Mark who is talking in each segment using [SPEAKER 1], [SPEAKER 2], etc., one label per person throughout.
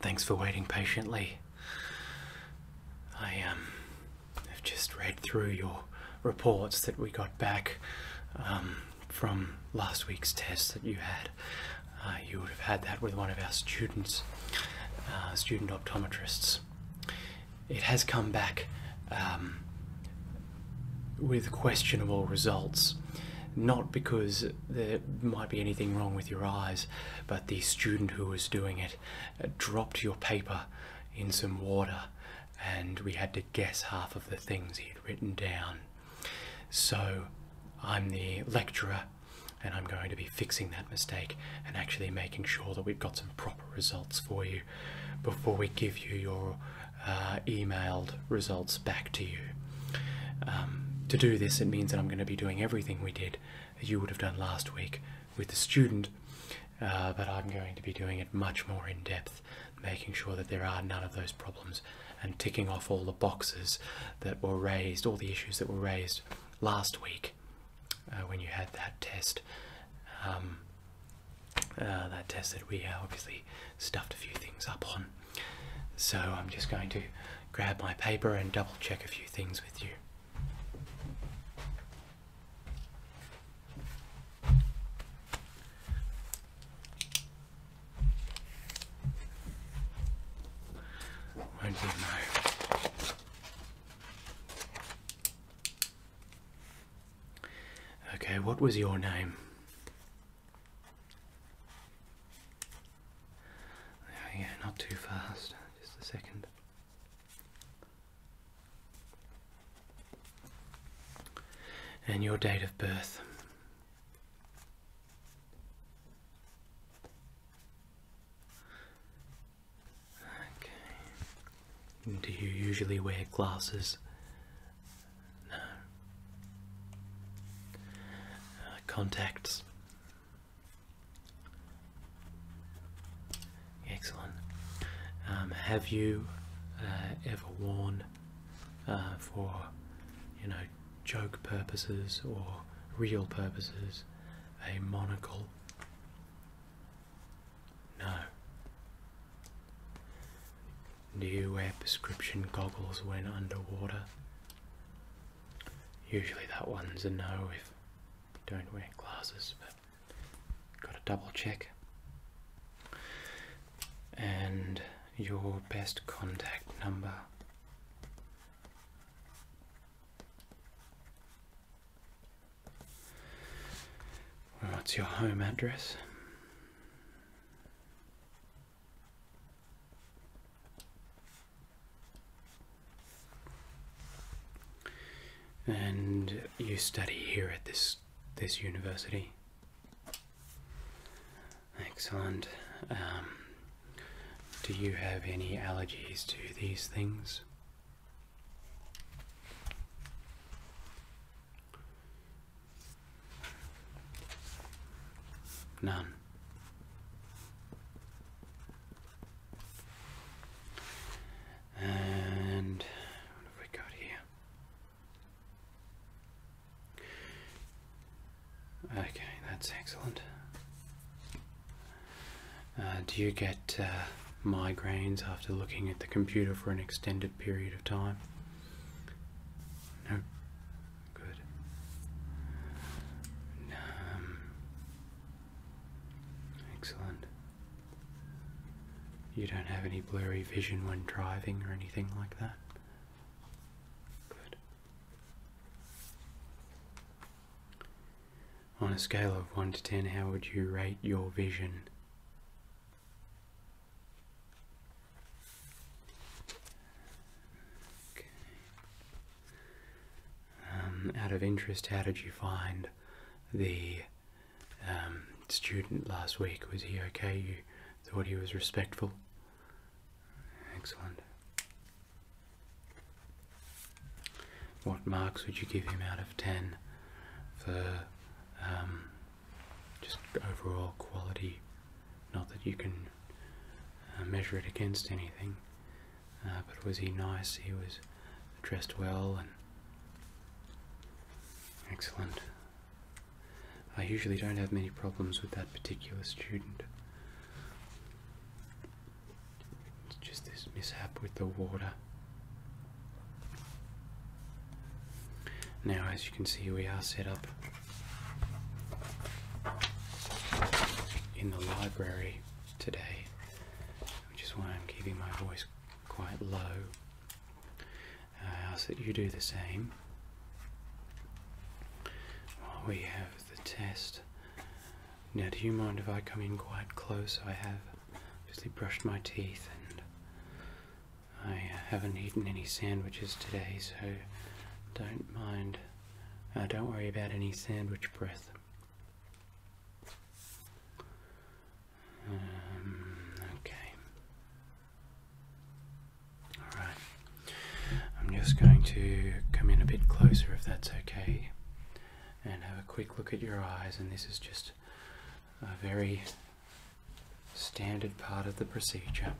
[SPEAKER 1] Thanks for waiting patiently. I um, have just read through your reports that we got back um, from last week's test that you had. Uh, you would have had that with one of our students, uh, student optometrists. It has come back um, with questionable results. Not because there might be anything wrong with your eyes, but the student who was doing it uh, dropped your paper in some water, and we had to guess half of the things he had written down. So I'm the lecturer and I'm going to be fixing that mistake and actually making sure that we've got some proper results for you before we give you your uh, emailed results back to you. Um, to do this, it means that I'm going to be doing everything we did that you would have done last week with the student, uh, but I'm going to be doing it much more in depth, making sure that there are none of those problems and ticking off all the boxes that were raised, all the issues that were raised last week uh, when you had that test. Um, uh, that test that we uh, obviously stuffed a few things up on. So I'm just going to grab my paper and double check a few things with you. Okay, what was your name? yeah, not too fast. Just a second. And your date of birth. Okay. Do you usually wear glasses? No. Uh, contacts. Excellent. Um, have you uh, ever worn uh, for, you know, joke purposes or real purposes a monocle? No. Do you wear prescription goggles when underwater? Usually that one's a no if you don't wear glasses, but gotta double check. And your best contact number. What's your home address? And you study here at this this university. Excellent. Um, do you have any allergies to these things? None. And what have we got here? Okay, that's excellent. Uh, do you get uh, migraines after looking at the computer for an extended period of time? No. Good. Um, excellent. You don't have any blurry vision when driving or anything like that? Good. On a scale of 1 to 10, how would you rate your vision? Um, out of interest, how did you find the um, student last week? Was he okay? You thought he was respectful? Excellent. What marks would you give him out of 10 for um, just overall quality? Not that you can uh, measure it against anything, uh, but was he nice? He was dressed well and excellent. I usually don't have many problems with that particular student. It's just this mishap with the water. Now, as you can see, we are set up in the library today, which is why I'm keeping my voice quite low. I ask that you do the same. we have the test now, do you mind if I come in quite close? I have obviously brushed my teeth and I haven't eaten any sandwiches today, so don't mind. Uh, don't worry about any sandwich breath. Um, okay. Alright. I'm just going to come in a bit closer if that's okay and have a quick look at your eyes and this is just a very standard part of the procedure.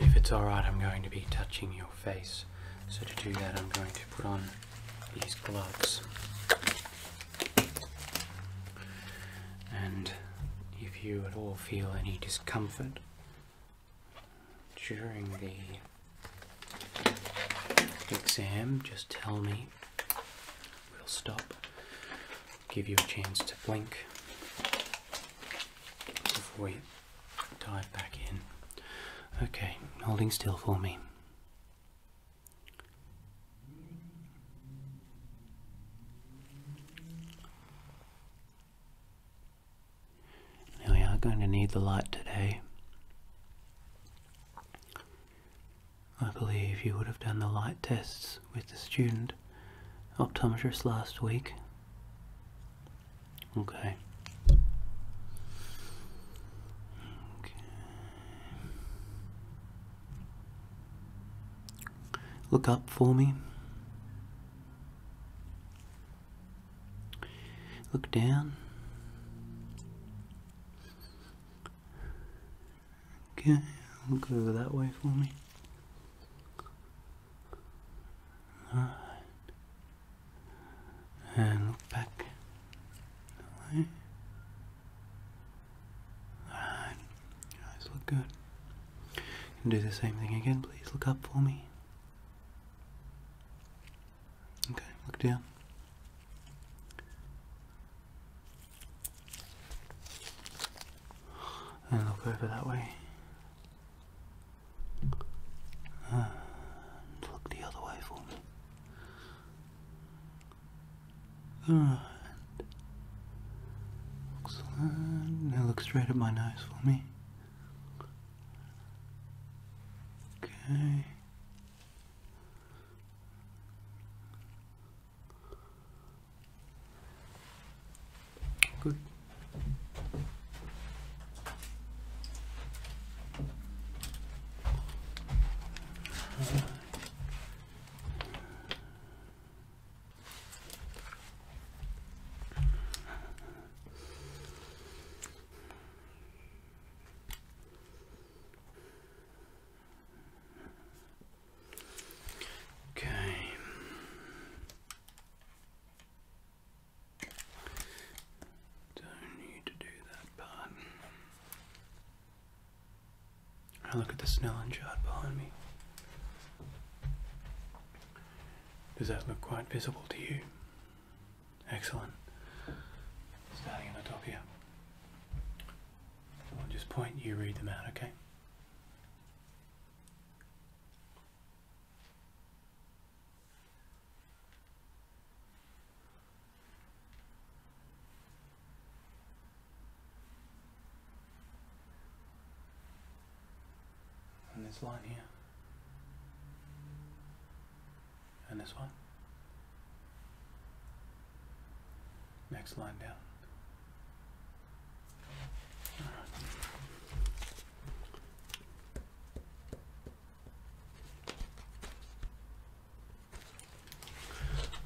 [SPEAKER 1] If it's alright I'm going to be touching your face so to do that I'm going to put on these gloves. And if you at all feel any discomfort during the exam, just tell me. We'll stop, give you a chance to blink before you dive back in. Okay, holding still for me we are going to need the light today. I believe you would have done the light tests with the student optometrist last week. Okay. Look up for me. Look down. Okay, look over that way for me. Alright. And look back Alright, your eyes look good. can do the same thing again, please. Look up for me. Okay, look down. And look over that way. look the other way for me. Alright. Excellent. Now look straight at my nose for me. Okay. Good. Okay. Don't need to do that part. I look at the Snellen chart behind me. Does that look quite visible to you? Excellent. Starting at the top here. I'll just point, you read them out, okay? And this line here. And this one. Next line down.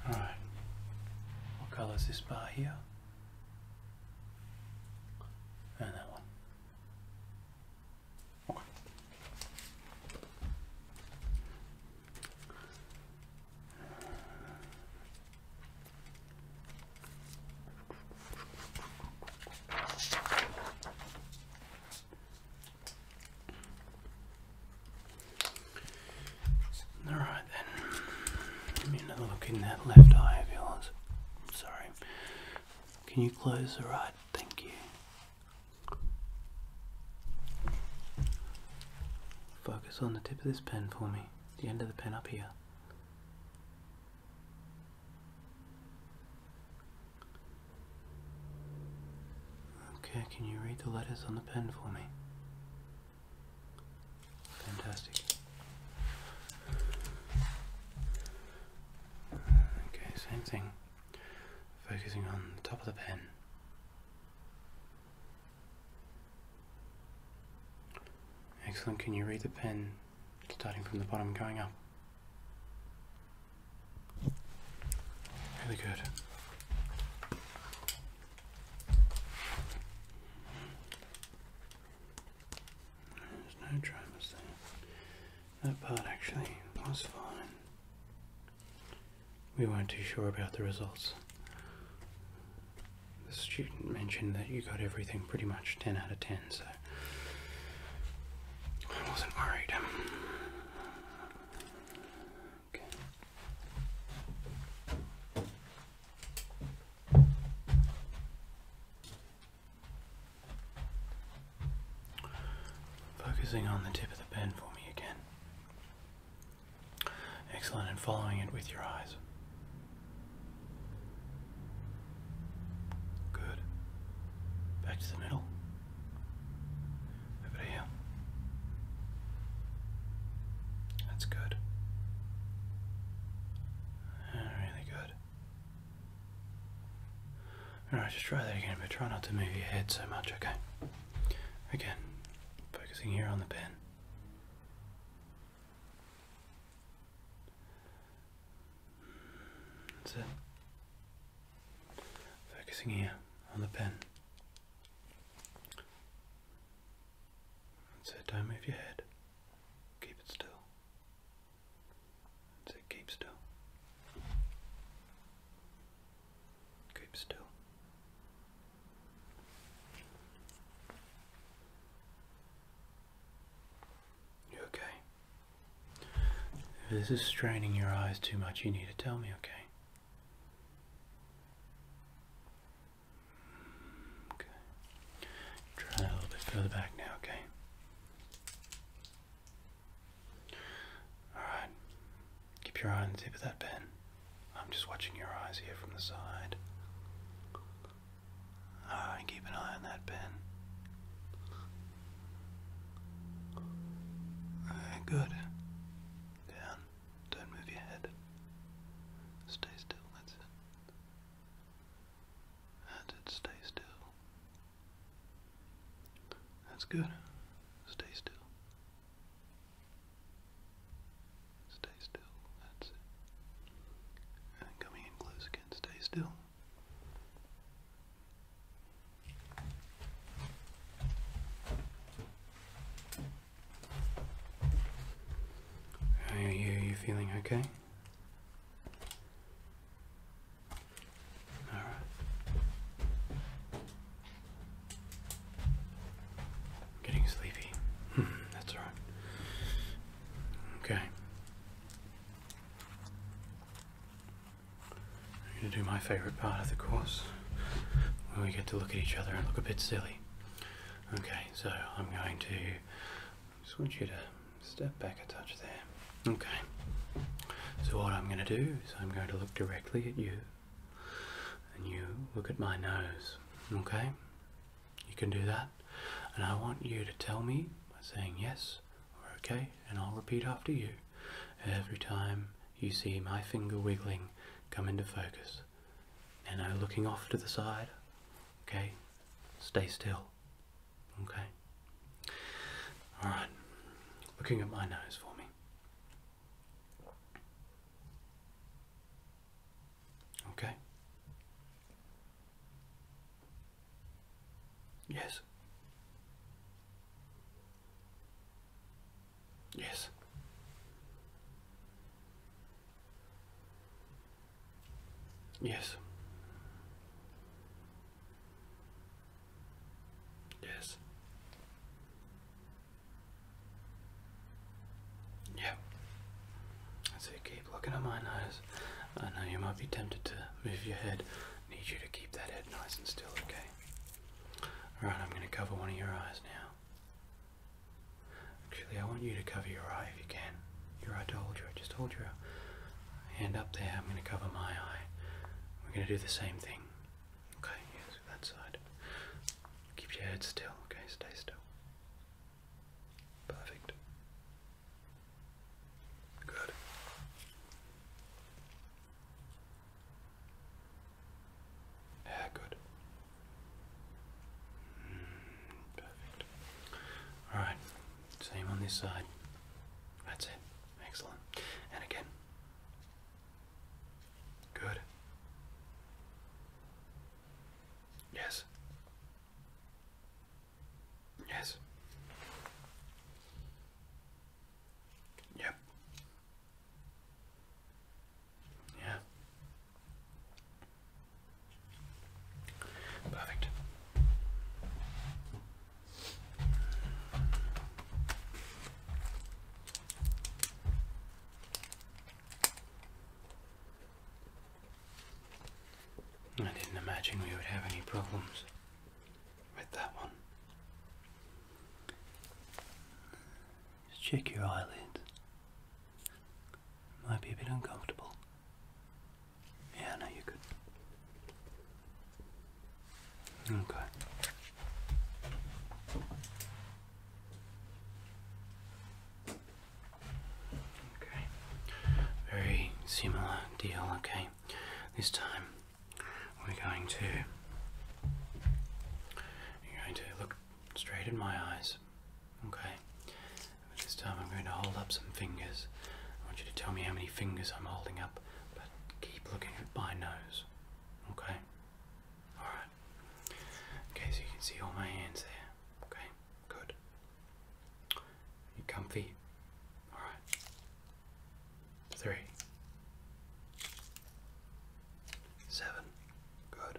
[SPEAKER 1] All right. What color is this bar here? And that one. Okay. All right then. another look in that left eye of yours. Sorry. Can you close the right? Thank you. Focus on the tip of this pen for me. The end of the pen up here. Okay, can you read the letters on the pen for me? Fantastic. Okay, same thing. Focusing on the top of the pen. Excellent. Can you read the pen starting from the bottom going up? Really good. There's no dramas there. That part actually was fine. We weren't too sure about the results. The student mentioned that you got everything pretty much 10 out of 10, so I wasn't worried. Focusing on the tip of the pen for me again. Excellent, and following it with your eyes. Good. Back to the middle. Over here. That's good. really good. Alright, just try that again, but try not to move your head so much, okay? Again, focusing here on the pen. That's it. Focusing here on the pen. And say, don't move your head. Keep it still. say, keep still. Keep still. You okay? If this is straining your eyes too much, you need to tell me, okay? Okay. Try a little bit further back now, okay? Alright. Keep your eye on the tip of that pen. I'm just watching your eyes here from the side. Alright, keep an eye on that pen. Right, good. Down. Don't move your head. Stay still, that's it. That's it, stay still. That's good. Stay still. Stay still, that's it. coming in close again, stay still are you? feeling okay? All getting sleepy. Hmm, that's all right. Okay. I'm going to do my favorite part of the course When we get to look at each other and look a bit silly. Okay, so I'm going to just want you to step back a touch there. Okay. So what I'm going to do is I'm going to look directly at you and you look at my nose. Okay? You can do that. And I want you to tell me by saying yes or okay and I'll repeat after you every time you see my finger wiggling come into focus you know, looking off to the side. Okay, stay still. Okay, all right, looking at my nose for me. Okay, yes, yes. Yes. Yes. Yeah. I say keep looking at my eyes. I know you might be tempted to move your head. I need you to keep that head nice and still, okay? Alright, I'm gonna cover one of your eyes now. Actually, I want you to cover your eye if you can. Your eye to hold your Just hold your hand up there. I'm going to cover my eye. We're going to do the same thing. Okay, yes, that side. Keep your head still. Okay, stay still. Perfect. Good. Yeah, good. Perfect. Alright, same on this side. That's it. Excellent. And again. Good. Yes. Yes. Yep. Yeah. Perfect. I didn't imagine we would have any problems with that one. Just check your eyelids. Might be a bit uncomfortable. Yeah, no, you're Okay. Okay. Very similar deal, okay. This time we're going to you're going to look straight in my eyes. Okay. this time I'm going to hold up some fingers. I want you to tell me how many fingers I'm holding up, but keep looking at my nose. Okay? Alright. Okay, so you can see all my hands there. Okay, good. You comfy? Alright. Three. Seven. Good.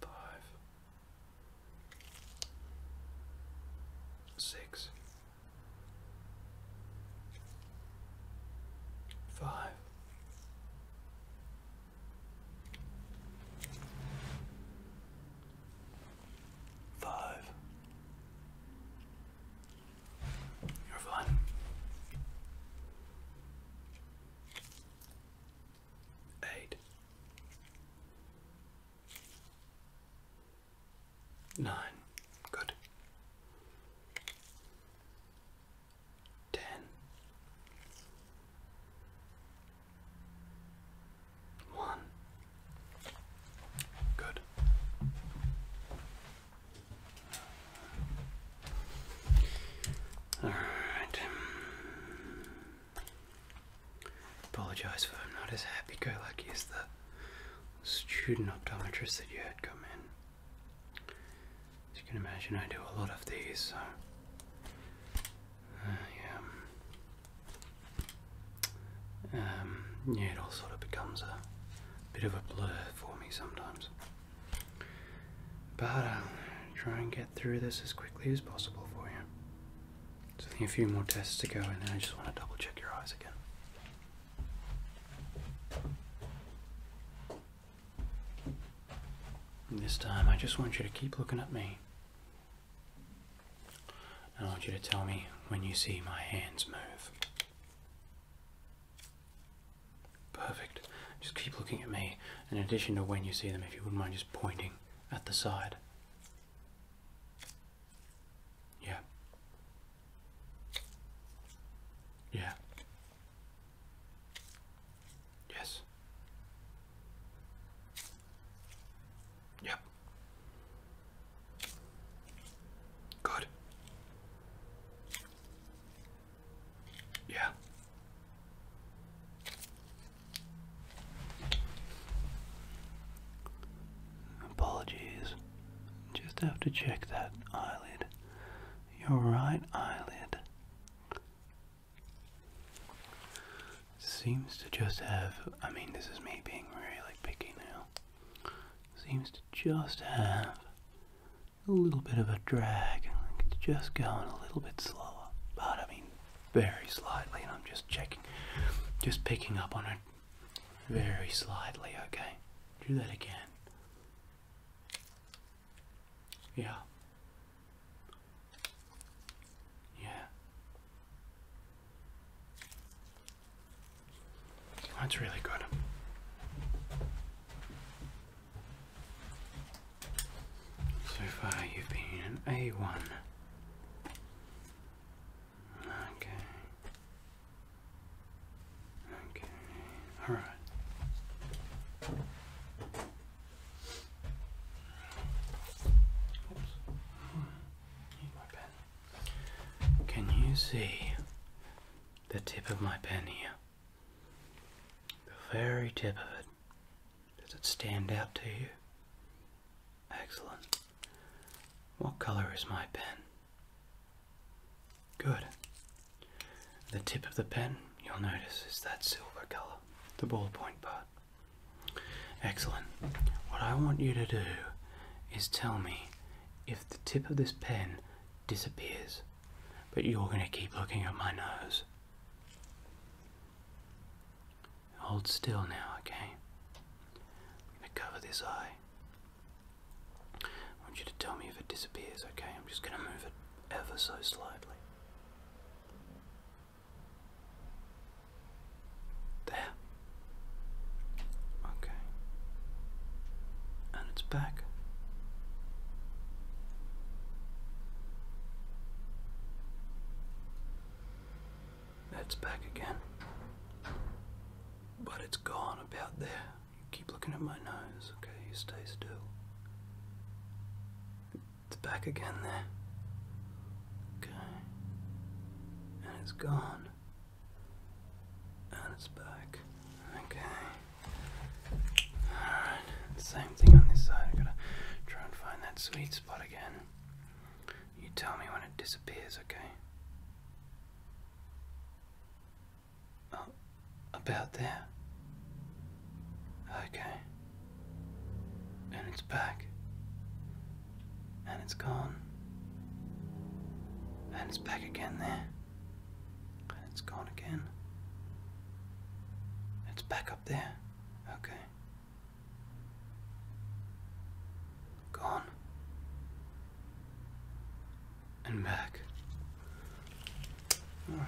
[SPEAKER 1] Five. six, five, five. You're fine eight, nine, good, ten, one, good. All right. Apologize for I'm not as happy-go-lucky as the student optometrist that you had come in. you can imagine, I do a lot of these, so uh, yeah. Um, yeah, it all sort of becomes a bit of a blur for me sometimes. But I'll try and get through this as quickly as possible for you. So a few more tests to go and then I just want to double check your eyes again. this time I just want you to keep looking at me. I want you to tell me when you see my hands move. Perfect. Just keep looking at me in addition to when you see them, if you wouldn't mind just pointing at the side. Yeah. Yeah. Yes. Yep. Good. Yeah. Apologies. Just have to check that eyelid. Your right eyelid seems to just have, I mean, this is me being really picky now, seems to just have a little bit of a drag. it's just going a little bit slower, but I mean very slightly, and I'm just checking, just picking up on it very slightly, okay? Do that again. Yeah. Yeah. That's really good. So far you've been an A1. Okay. Okay. All right. Can you see the tip of my pen here? The very tip of it. Does it stand out to you? Excellent. What color is my pen? Good. The tip of the pen, you'll notice, is that silver color, the ballpoint part. Excellent. What I want you to do is tell me if the tip of this pen disappears, but you're going to keep looking at my nose. Hold still now, okay? I'm going to cover this eye. I want you to tell me if it disappears, okay? I'm just going to move it ever so slightly. There. Okay. And it's back. That's back again. But it's gone about there. You keep looking at my nose, okay? You stay still. It's back again there. Okay. And it's gone. And it's back. Okay same thing on this side. I gotta try and find that sweet spot again. You tell me when it disappears, okay? Oh, about there. Okay. And it's back. And it's gone. And it's back again there. And it's gone again. It's back up there? Okay. Gone. And back. And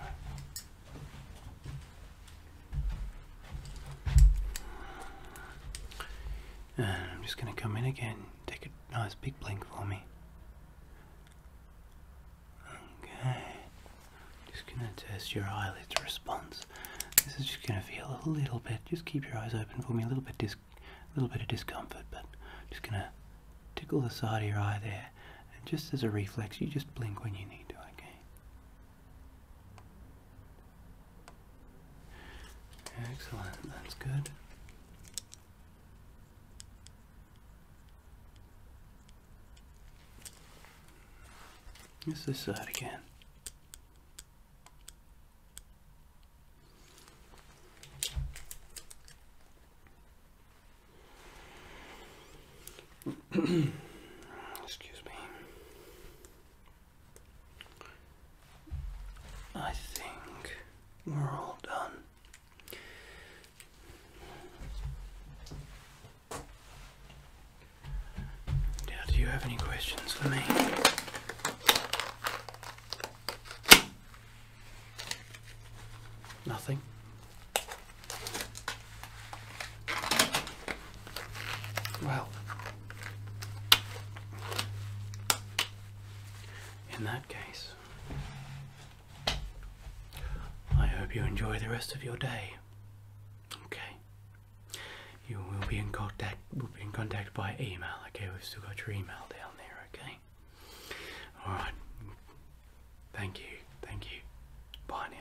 [SPEAKER 1] uh, I'm just going to come in again. Take a nice big blink for me. Okay. Just gonna test your eyelids response. This is just gonna feel a little bit. Just keep your eyes open for me. A little bit dis, a little bit of discomfort, but just gonna tickle the side of your eye there. And just as a reflex, you just blink when you need to. Okay. Excellent. That's good. It's this side again. Excuse me. I think we're all done. Now, do you have any questions for me? Nothing. Well, in that case, I hope you enjoy the rest of your day. Okay. You will be in contact will be in contact by email, okay? We've still got your email down there, okay? Alright. Thank you. Thank you. Bye now.